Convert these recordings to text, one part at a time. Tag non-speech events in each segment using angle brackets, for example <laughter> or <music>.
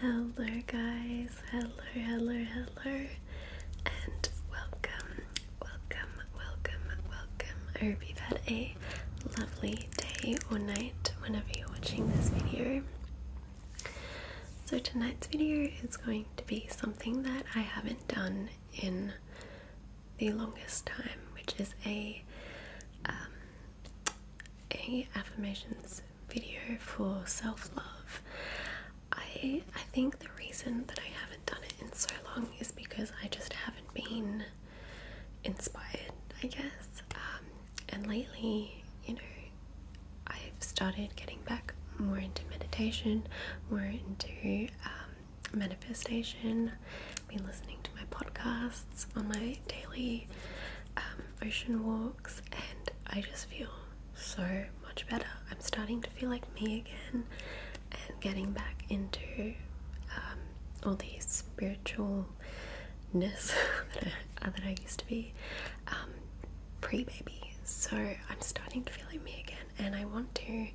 Hello, guys. Hello, hello, hello, and welcome, welcome, welcome, welcome. I hope you've had a lovely day or night whenever you're watching this video. So, tonight's video is going to be something that I haven't done in the longest time, which is a um, a affirmations video for self-love. I I think the reason that I haven't done it in so long is because I just haven't been inspired, I guess. Um, and lately, you know, I've started getting back more into meditation, more into um, manifestation. been listening to my podcasts on my daily um, ocean walks, and I just feel so much better. I'm starting to feel like me again and getting back into um, all the spiritualness <laughs> that I used to be um, pre baby. So I'm starting to feel like me again, and I want to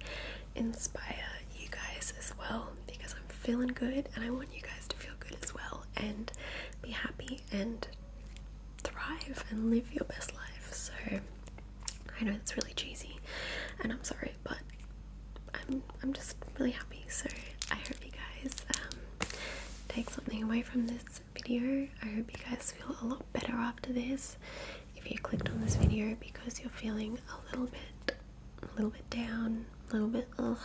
inspire you guys as well because I'm feeling good and I want you guys to feel good as well and be happy and thrive and live your best life. So I know it's really cheesy and I'm sorry, but I'm, I'm just really happy. So I hope you guys um, take something away from this video. I hope you guys feel a lot better after this. If you clicked on this video because you're feeling a little bit, a little bit down, a little bit ugh,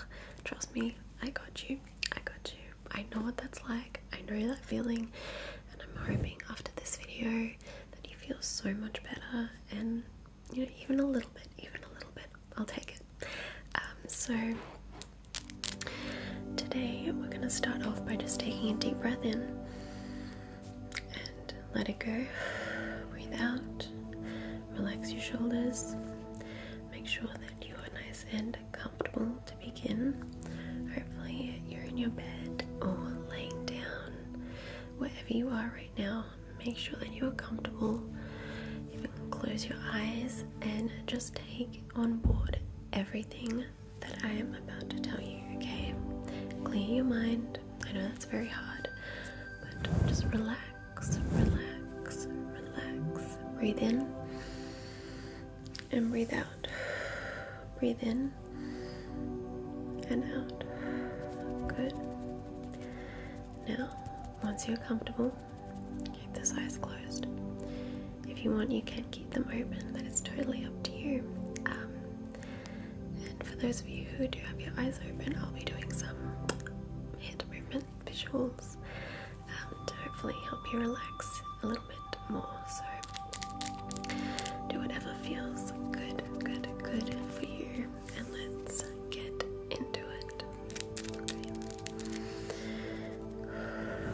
trust me, I got you. I got you. I know what that's like. I know that feeling, and I'm hoping after this video that you feel so much better and you know even a little bit, even a little bit. I'll take it. Um, so Today, we're going to start off by just taking a deep breath in and let it go. Breathe out, relax your shoulders, make sure that you are nice and comfortable to begin. Hopefully, you're in your bed or laying down, wherever you are right now. Make sure that you are comfortable. You close your eyes and just take on board everything that I am about to tell you, okay? Clear your mind. I know that's very hard, but just relax, relax, relax. Breathe in and breathe out. Breathe in and out. Good. Now, once you're comfortable, Keep those eyes closed. If you want, you can keep them open, that is totally up to you. Um, and for those of you who do have your eyes open, I'll be doing some head movement visuals um, to hopefully help you relax a little bit more. So, do whatever feels good, good, good for you, and let's get into it.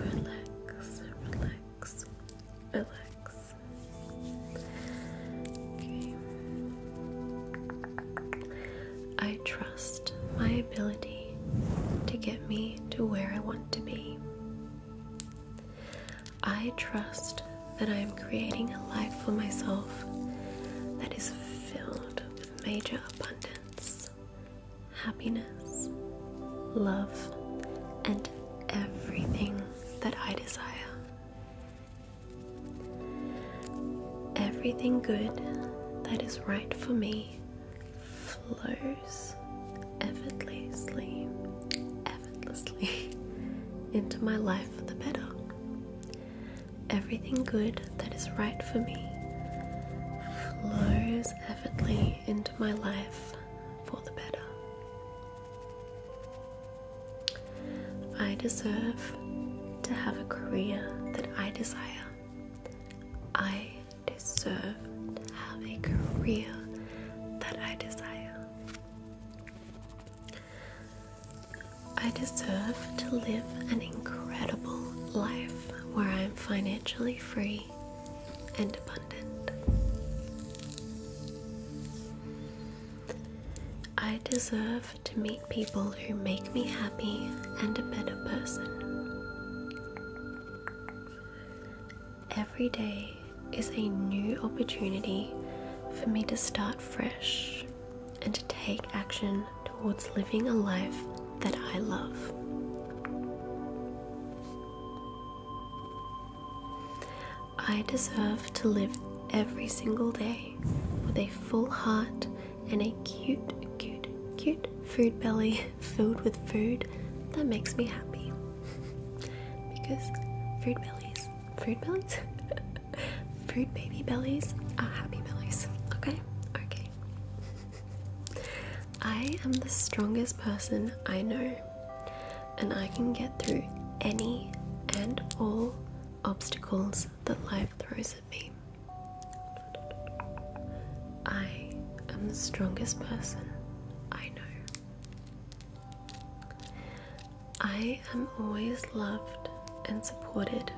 Relax, relax, relax. Okay. I trust my ability to get me to where I want to be. I trust that I am creating a life for myself that is filled with major abundance happiness, love, and everything that I desire. Everything good that is right for me flows effortlessly, effortlessly <laughs> into my life for the better everything good that is right for me flows effortlessly into my life for the better. I deserve to have a career that I desire. I deserve to have a career that I desire. I deserve to live an incredible life where I am financially free and abundant. I deserve to meet people who make me happy and a better person. Every day is a new opportunity for me to start fresh and to take action towards living a life that I love. I deserve to live every single day with a full heart and a cute, cute, cute fruit belly <laughs> filled with food that makes me happy. <laughs> because food bellies, fruit bellies, <laughs> fruit baby bellies are happy bellies. Okay? Okay. <laughs> I am the strongest person I know, and I can get through any and all obstacles that life throws at me. I am the strongest person I know. I am always loved and supported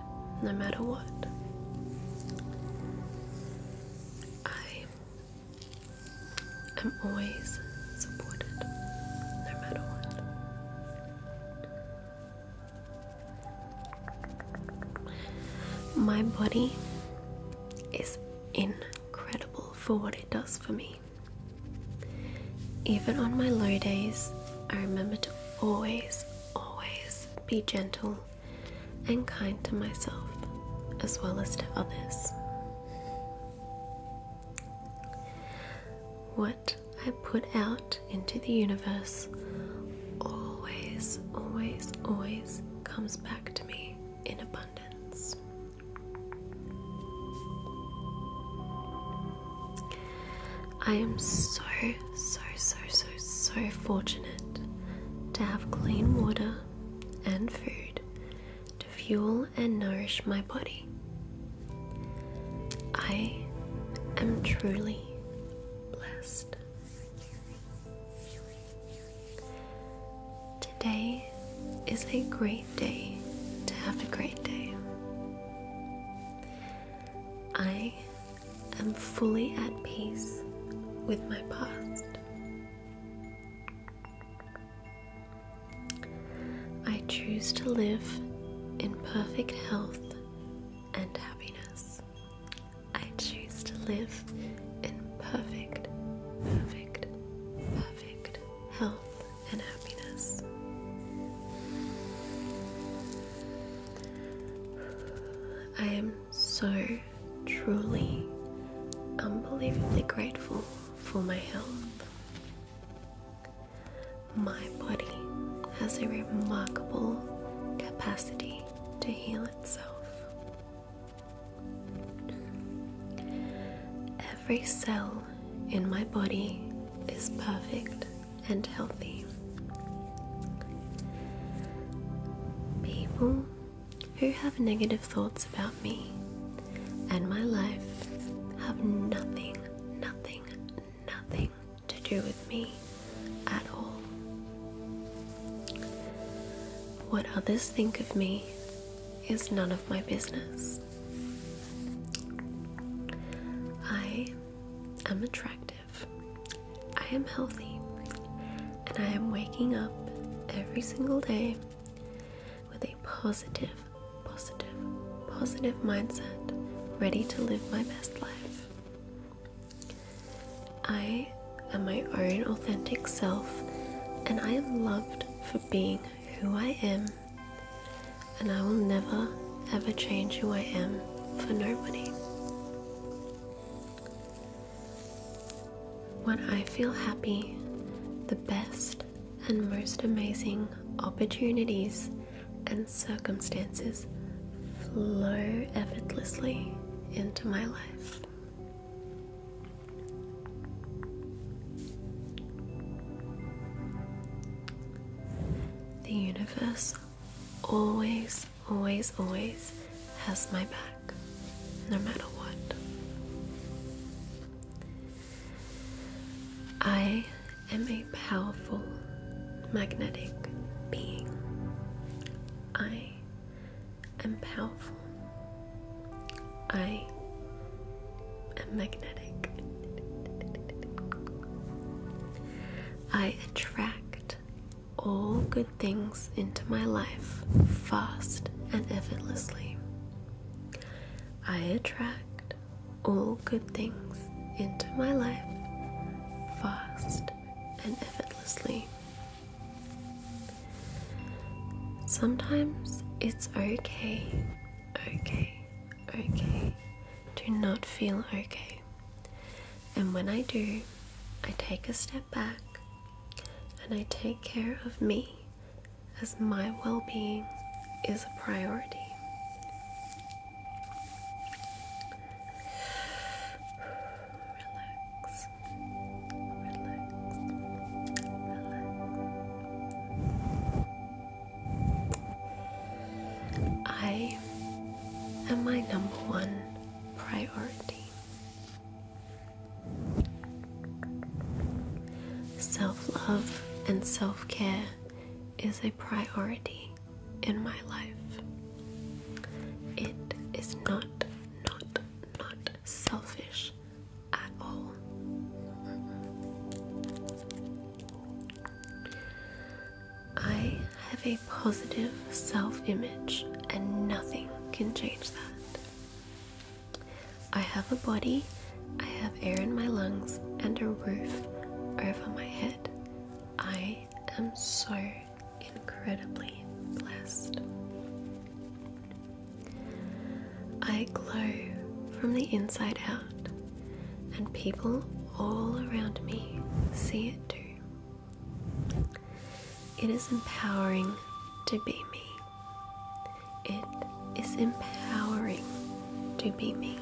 no matter what. I am always supported no matter what. My body is incredible for what it does for me. Even on my low days, I remember to always, always be gentle and kind to myself as well as to others. What I put out into the universe always, always, always comes back to me in abundance. I am so, so, so, so, so fortunate to have clean water and food to fuel and nourish my body. I am truly blessed. Today is a great day to have a great day. I i am fully at peace with my past. I choose to live in perfect health and happiness. I choose to live in perfect, perfect, perfect health and happiness. I am so truly unbelievably grateful for my health. My body has a remarkable capacity to heal itself. Every cell in my body is perfect and healthy. People who have negative thoughts about me and my life have nothing, nothing, nothing to do with me at all. What others think of me is none of my business. I I'm attractive. I am healthy. And I am waking up every single day with a positive, positive, positive mindset, ready to live my best life. I am my own authentic self, and I am loved for being who I am and I will never ever change who I am for nobody. When I feel happy, the best and most amazing opportunities and circumstances flow effortlessly into my life. The universe always, always, always has my back, no matter what. I am a powerful magnetic being. I am powerful. I am magnetic. I attract all good things into my life fast and effortlessly. I attract all good things into my life fast and effortlessly. Sometimes it's okay, okay, okay, do not feel okay. And when I do, I take a step back and I take care of me as my well being is a priority. Relax, relax, relax. I am my number one priority. Self love and self care is a priority in my life. It is not, not, not selfish at all. I have a positive self image, and nothing can change that. I have a body, I have air in my lungs, and a roof over my head. I am so incredibly blessed. I glow from the inside out, and people all around me see it too. It is empowering to be me. It is empowering to be me.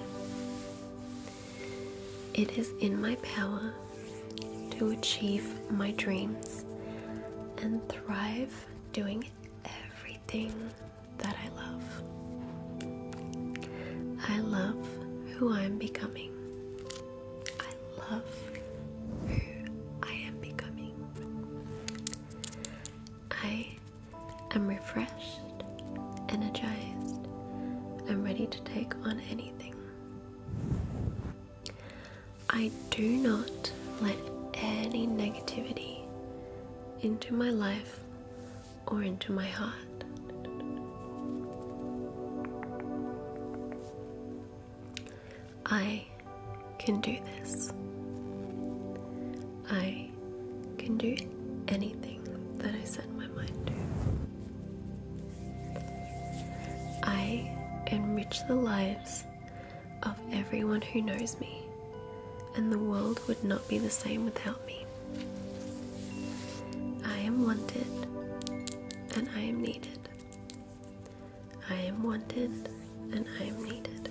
It is in my power to achieve my dreams and thrive doing everything that I love. I love who I'm becoming. I love who I am becoming. I am refreshed, energized, I'm ready to take on anything. I do not let any negativity into my life or into my heart. I can do this. I can do anything that I set my mind to. I enrich the lives of everyone who knows me, and the world would not be the same without me. I am wanted, and I am needed. I am wanted, and I am needed.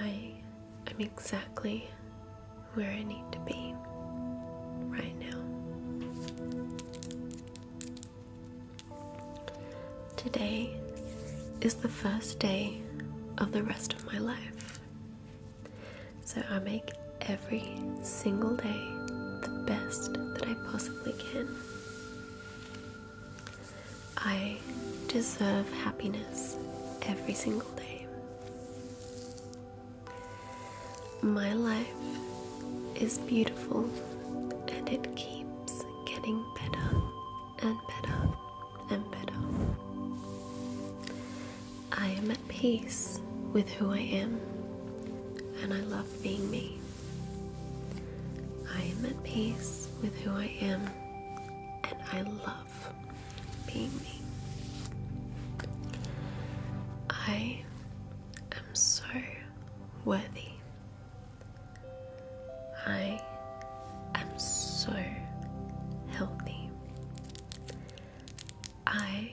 I am exactly where I need to be right now. Today is the first day of the rest of my life. So I make every single day the best that I possibly can. I deserve happiness every single day. My life is beautiful and it keeps getting better and better and better. I am at peace with who I am, and I love being me. I am at peace with who I am, and I love being me. I am so worthy I am so healthy. I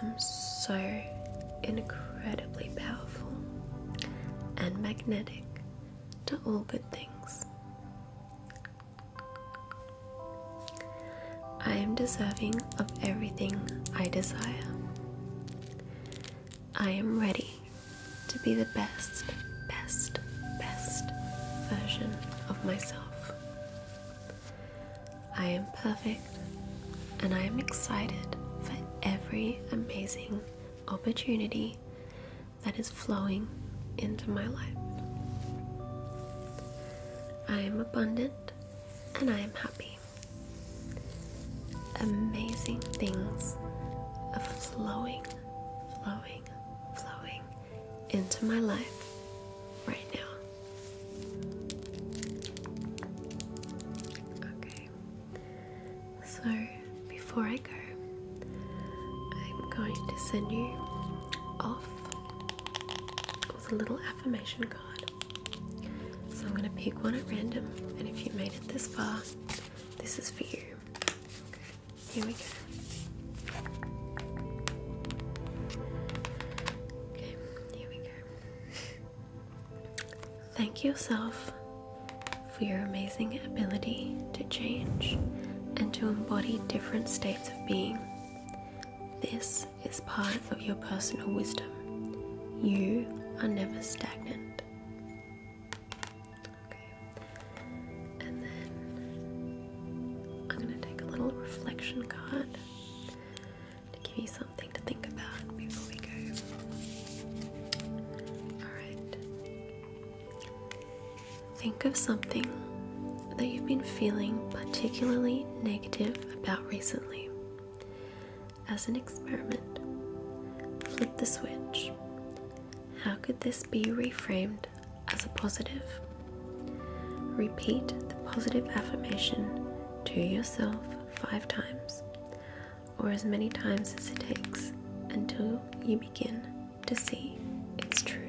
am so incredibly powerful and magnetic to all good things. I am deserving of everything I desire. I am ready to be the best, best, best version of myself. I am perfect and I am excited for every amazing opportunity that is flowing into my life. I am abundant and I am happy amazing things of flowing, flowing, flowing into my life right now. Okay, so before I go, I'm going to send you off with a little affirmation card. So I'm going to pick one at random, and if you made it this far, this is for you. here we go. here we go. Thank yourself for your amazing ability to change and to embody different states of being. This is part of your personal wisdom. You are never stagnant. Okay. And then I'm going to take a little reflection card to give you something to think about before we go. Alright. Think of something that you've been feeling particularly negative about recently as an experiment. Flip the switch. How could this be reframed as a positive? Repeat the positive affirmation to yourself five times, or as many times as it takes, until you begin to see its truth.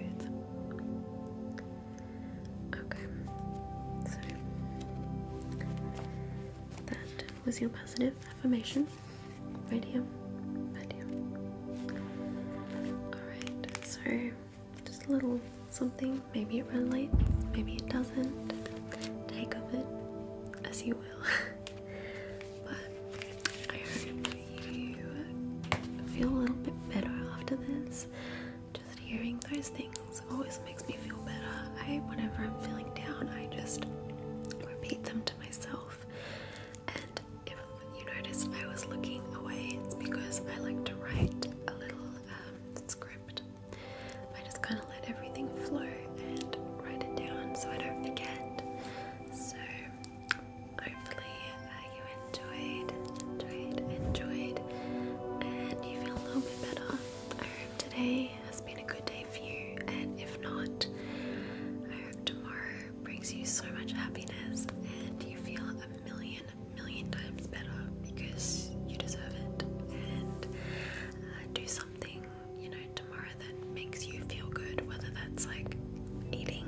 Okay, so that was your positive affirmation right here. Alright, so just a little something. Maybe it relates, maybe it doesn't. Take of it as you will. <laughs> but I hope you feel a little bit better after this. Just hearing those things songs always makes me feel better. I whenever I'm feeling down, I just repeat them to myself. And if you notice, I was looking away, it's because I like to write a little um, script. I just kind of let everything flow and write it down so I don't forget. So hopefully uh, you enjoyed, enjoyed, enjoyed, and you feel a little bit better. I hope today it has been a good day for you, and if not, I hope tomorrow brings you so much happiness and you feel a million, million times better because you deserve it. And uh, do something, you know, tomorrow that makes you feel good, whether that's like eating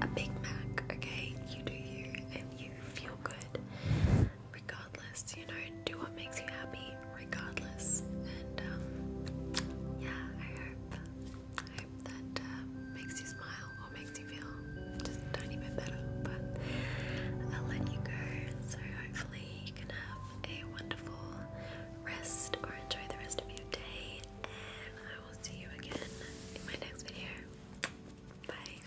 a Big Mac, okay? You do you and you feel good regardless, you know, do what makes you happy regardless. And um, yeah, I hope, that uh, makes you smile or makes you feel just a tiny bit better. But I'll let you go. So hopefully you can have a wonderful rest or enjoy the rest of your day. And I will see you again in my next video. Bye.